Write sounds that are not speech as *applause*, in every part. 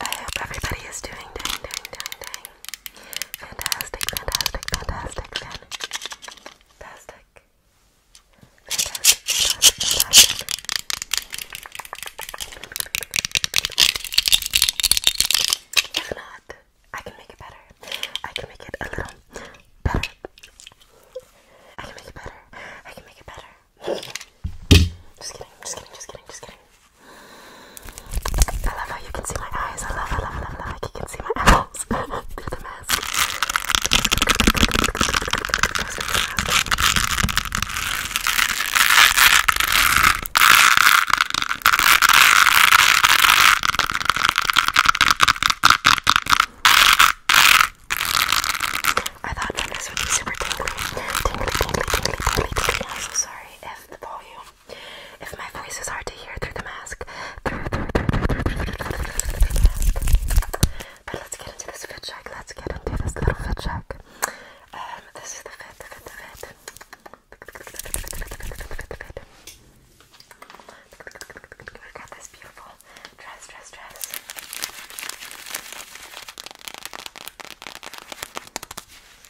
I hope everybody is doing, doing, doing, doing, doing. Fantastic, fantastic, fantastic, fantastic. Fantastic, fantastic, fantastic. If not, I can make it better. I can make it a little better. I can make it better. I can make it better. *laughs* Just kidding, just kidding, just kidding, just kidding. I love how you can see my eyes. I love, I love, I love, I love. Like you can see my *laughs* eyeballs *laughs* through the mask. I thought that this would be super tingly, tingly, tingly, tingly, tingly, tingly. I'm so sorry if the volume, if my voice is hard to hear through the mask. But let's get into this fit check. Let's get into this little fit check. Um, this is the fit, the fit, the fit. We've this beautiful dress, dress, dress.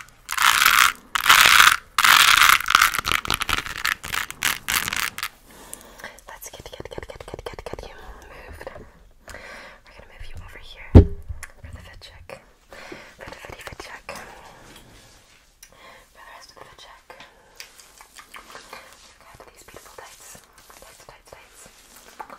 Let's get, get, get, get, get, get, get you moved. We're gonna move you over here for the fit check. For the fitty fit check. For the rest of the fit check. Look at these beautiful tights. Tights, tights, tights.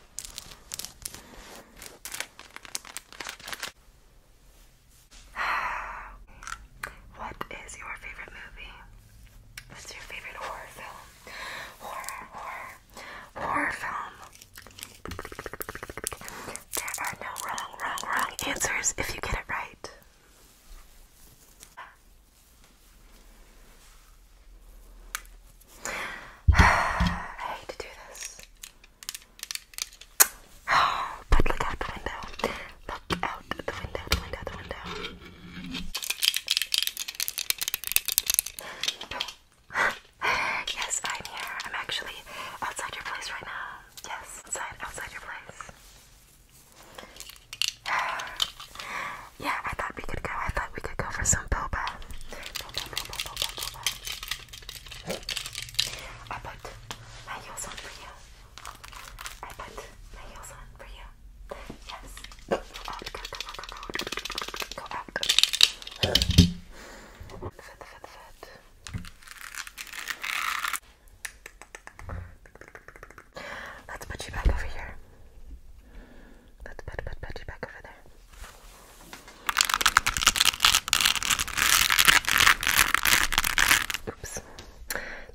*sighs* What is your favorite movie? What's your favorite horror film? Horror, horror, horror film. There are no wrong, wrong, wrong answers if you get it right. *sighs* I hate to do this. *sighs* But look out the window. Look out the window, the window, the window. yes, I'm here. I'm actually outside your place right now. Yes, outside, outside your place. *sighs* Yeah, I thought we could go. I thought we could go for some boba. I put my heels on for you. I put my heels on for you. Yes. Go out. Go, go, go, go, go. Go out. Foot, foot, foot. Let's put you back over here. Let's put, put Pudgy back over there. Oops.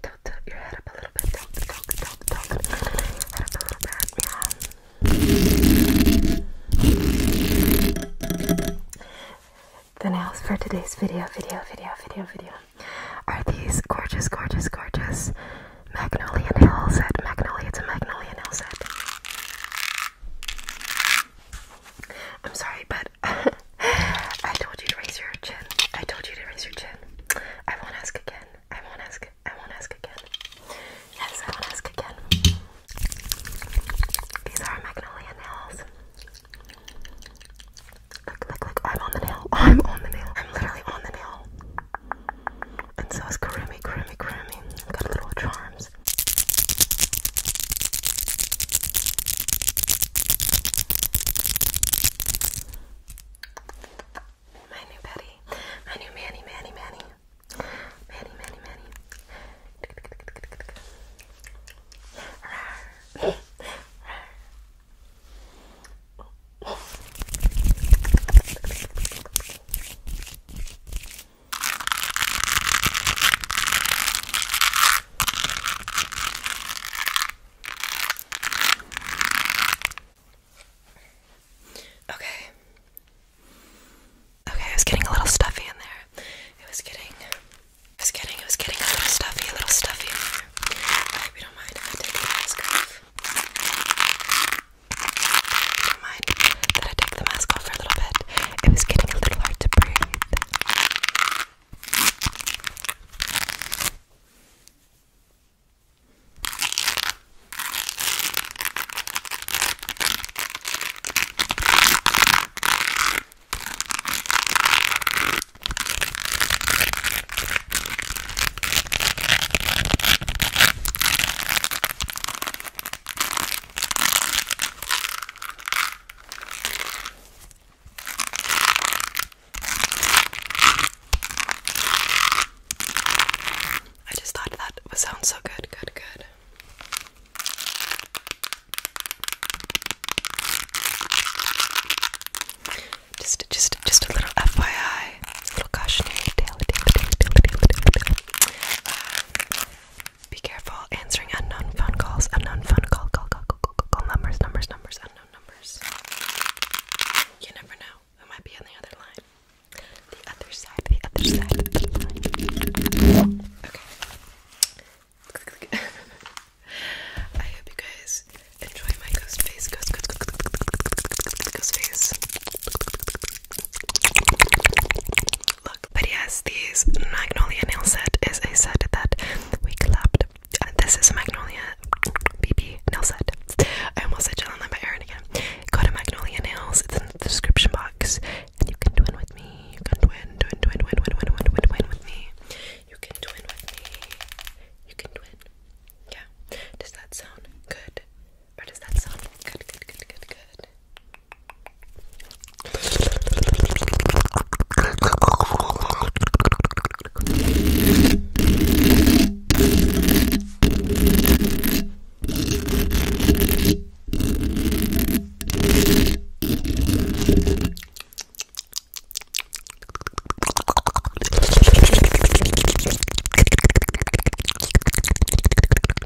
Tilt, tilt your head up a little bit. Tilt, tilt, tilt, tilt. Head up a little bit. Yeah. The nails for today's video, video, video, video, video are these gorgeous, gorgeous, gorgeous Magnolia nail set. Magnolia, it's a Magnolia nail set. I'm sorry, but *laughs* I told you to raise your chin. I told you to raise your chin. I won't ask again. I won't ask. I won't ask again. Yes, I won't ask again. These are magnolia nails. Look, look, look. I'm on the nail. *laughs* I'm on the nail. I'm literally on the nail. And so is Karumi, Karumi, Karumi. Got little charms sounds. My new Betty. My new Manny, Manny, Manny. Manny, Manny, Manny. Rawr. Rawr. *laughs* Okay. Okay, I was getting a little stuffy in there. It was getting it was getting it was getting a little stuffy, a little stuffy I hope you don't mind if I take the mask off. Never mind that I take the mask off for a little bit. It was getting a little hard to breathe. I just thought that would sound so good, good, good. Just, just, just a little FYI, a little cautionary tale. Be careful answering unknown phone calls, unknown phone call, call, call, call, call, call, call numbers, numbers, numbers, unknown numbers. You never know who might be on the other line. The other side, the other side of the line. Okay. *laughs* I hope you guys enjoy my ghost face, ghost, ghost, ghost, ghost, ghost, ghost face look. But yes, these Magnolia nail set is a set that we collabed. Uh, this is a Magnolia BB nail set. I almost said Jill and I by Erin again. Go to Magnolia Nails, it's in the description box. you can twin with me. You can twin, twin, twin, twin, twin, twin, twin, twin with me. You can twin with me. You can twin. Yeah. Does that sound good? Or does that sound good? Good, good, good, good.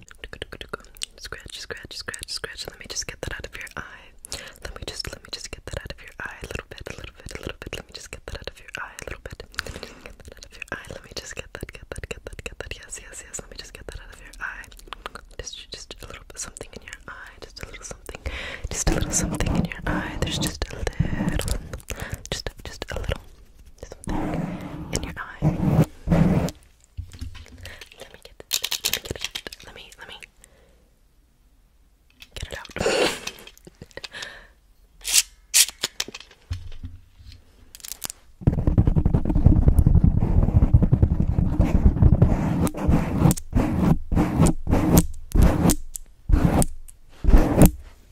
Scratch, scratch, scratch, scratch. Let me just get that out of your eye. Let me just, let me just get that out of your eye a little bit, a little bit, a little bit. Let me just get that out of your eye a little bit. Let me just get that out of your eye. Let me just get that, get that, get that, get that. Yes, yes, yes. Let me just get that out of your eye. Just, just a little bit something in your eye. Just a little something. Just a little something in your eye. There's just a little, just, just a little something in your eye. Let me get this. Let me get it. Let me, let me get it out.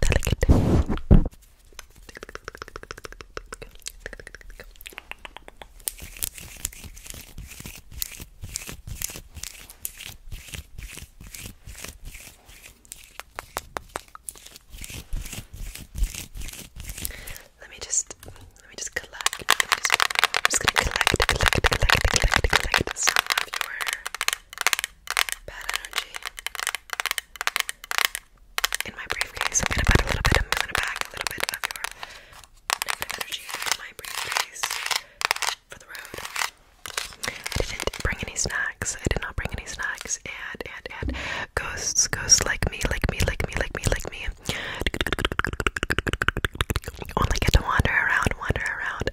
delicate. Let me just let me just collect. just, gonna collect, bad energy in my briefcase. I'm gonna put a little bit, I'm bag a little bit of your negative energy in my briefcase for the road. I didn't bring any snacks. I did not bring any snacks. And, and, and, ghosts, ghosts like me, like me, like me, like me, like me. Only get to wander around, wander around.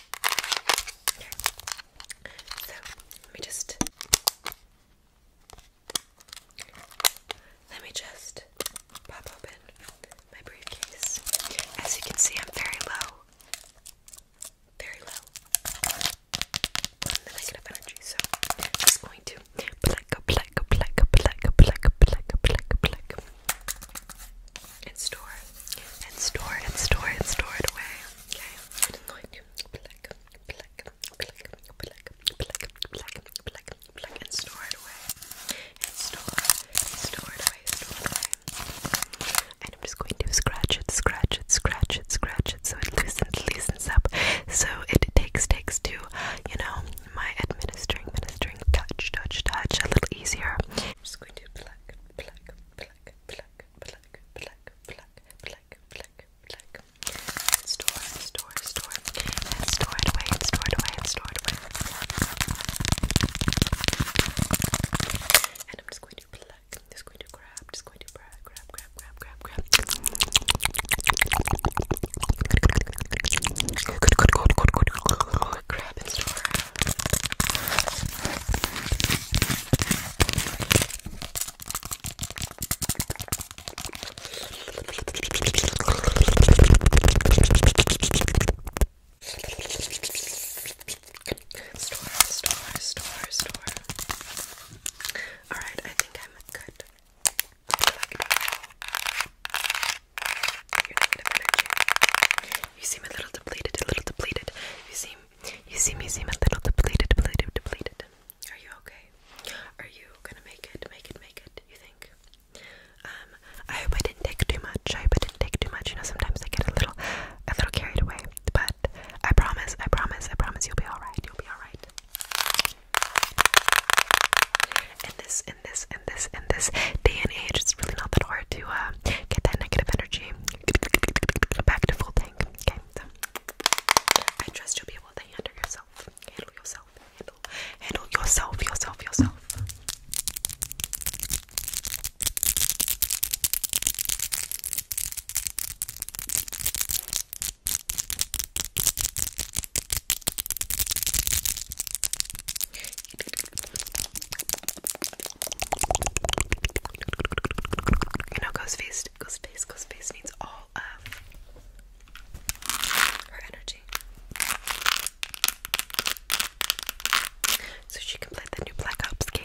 Okay. So let me just let me just pop open my briefcase. As you can see, I'm very low. Very low. The negative energy, so I'm just going to pluck, pluck, pluck, pluck, pluck, pluck, pluck, pluck and store it. And store it and store it and store it away. Okay. I'm going to pluck, pluck, pluck, pluck, pluck, pluck, pluck, pluck, and store it away. And store, store it away, store it away. And I'm just going to scratch it, scratch it, scratch it, scratch it so it loosens, loosens up. So it takes, takes to, you know, my administering, ministering touch, touch, touch a little easier. just going to pluck, pluck, pluck, pluck, pluck, pluck, pluck, pluck, pluck, pluck. Store, store, store, and store it away, and store it away, and store it away. And I'm just going to pluck, I'm just going to grab, just going to grab, grab, grab, grab, grab, grab. Good, good, good, good, good. Grab and store. Store, store, store, store. Alright, I think I'm good. You're negative energy. You seem a little depleted, a little depleted. You seem, you seem, you seem a little depleted, depleted, depleted. Are you okay? Are you gonna make it, make it, make it? You think? Um, I hope I didn't take too much. I hope I didn't take too much. You know, sometimes I get a little, a little carried away. But I promise, I promise, I promise, you'll be all right. You'll be all right. In this, in this, in this, in this day and age, it's really not that hard to uh, get that negative energy back to full tank. Okay, I trust you'll be able to handle yourself. Handle yourself. Handle, handle yourself. Yourself. Yourself. You know, Ghost Face, Ghost Face, Ghost Face needs all of her energy. So she can play the new Black Ops game.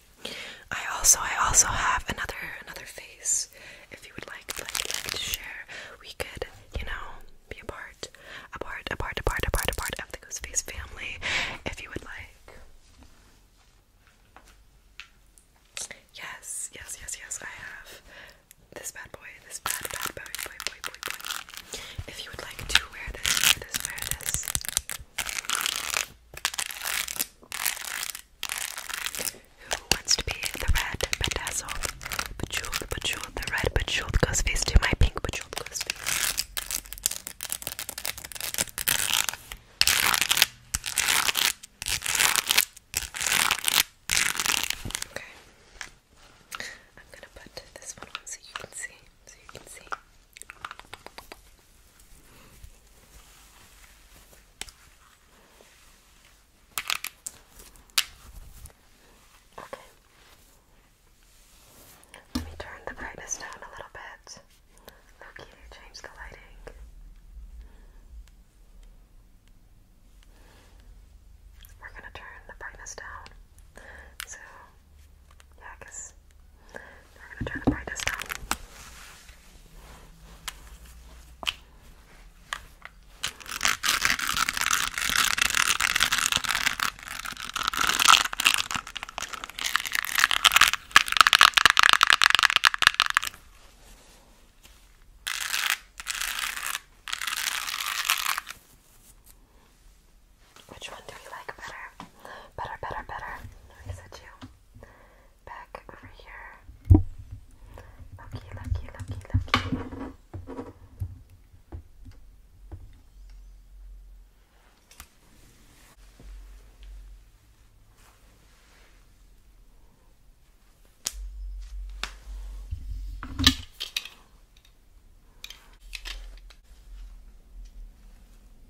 I also I also have another another face. If you would like to share, we could you know be a part, a part, a part, a part, a part, a part of the Goose Face family. If you would like. Yes, yes, yes, yes. I have this bad boy. This bad bad boy boy boy boy boy. If you would like to wear this, wear this, wear this. Who wants to be the red bedazzled? Bejeweled, bejeweled, the red bejeweled ghost face to my pink bejeweled ghost face. Okay. I'm gonna put this one on so you can see. So you can see. Okay. Let me turn the brightness down a little bit. Look change the lighting. We're gonna turn the brightness down. So, yeah, I we're gonna try the brightest now. Which one do you like better? Better, better, better. Let me you back over here. Lucky, lucky, lucky, lucky.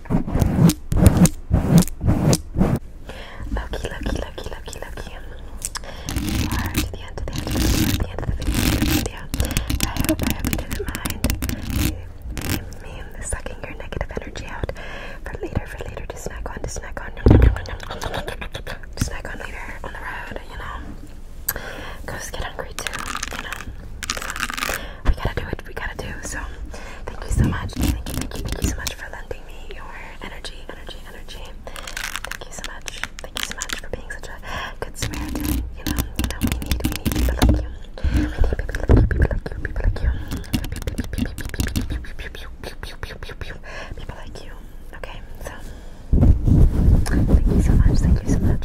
Loki, Loki, Loki, Loki, Loki. You are to the end, to the end, to the end, to the end, to the end of the video. I hope, I hope you didn't mind me, me sucking your negative energy out for later, for later, to snack on, to snack on, to snack on later on the road, you know. Ghosts get hungry too, you know. So, we gotta do what we gotta do. So thank you so much. Thank you, thank you, thank you so much for lending me your energy, energy, energy. Thank you so much. Thank you so much for being such a good spirit. You know, you know, we need, we need people like you. We need people like you, people like you, people like you. People like you. Okay, so thank you so much, thank you so much.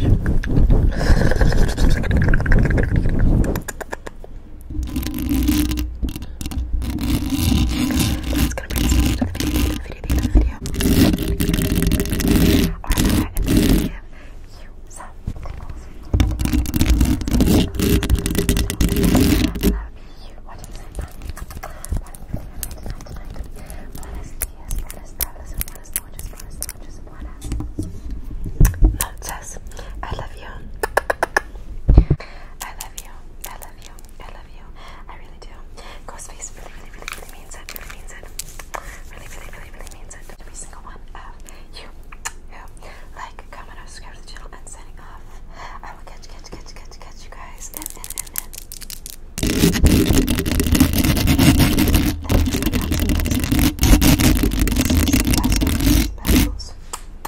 That's gonna bring us video, the video, the video, the video. Or that, give you some tickles. you watching time. Tonight, I love you. I love you. I love you. I love you. I really do. Ghostface really, really, really, really means it. Really means it. Really, really, really, really means it. Every single one of you who like, comment, or subscribe to the channel, and signing off. I will catch, catch, catch, catch, catch you guys. And, and, and, and. Thank